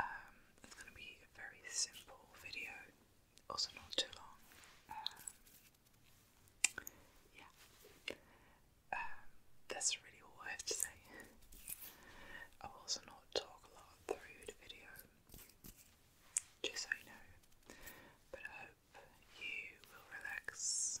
Um, it's going to be a very simple video, also not too long. Um, yeah, um, that's really all I have to say. I'll also not talk a lot through the video, just so you know. But I hope you will relax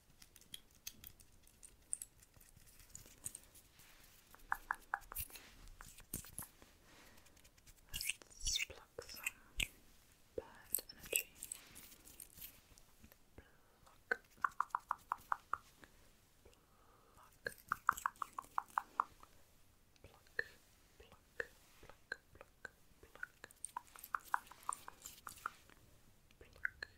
Let's pluck some bad energy. Pluck. Pluck. Pluck. Pluck. Pluck. Pluck. Pluck. Pluck.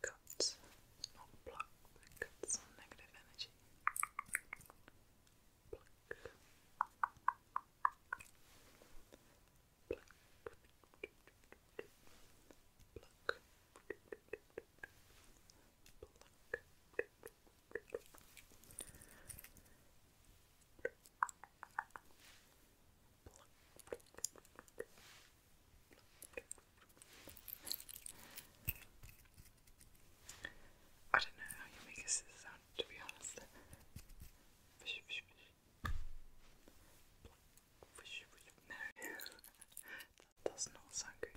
Cut. cuts, not negative energy. Pluck. Pluck. Pluck. Pluck. Pluck. Pluck. Pluck. I don't know how you make a sound, to be honest. No, that not sound good.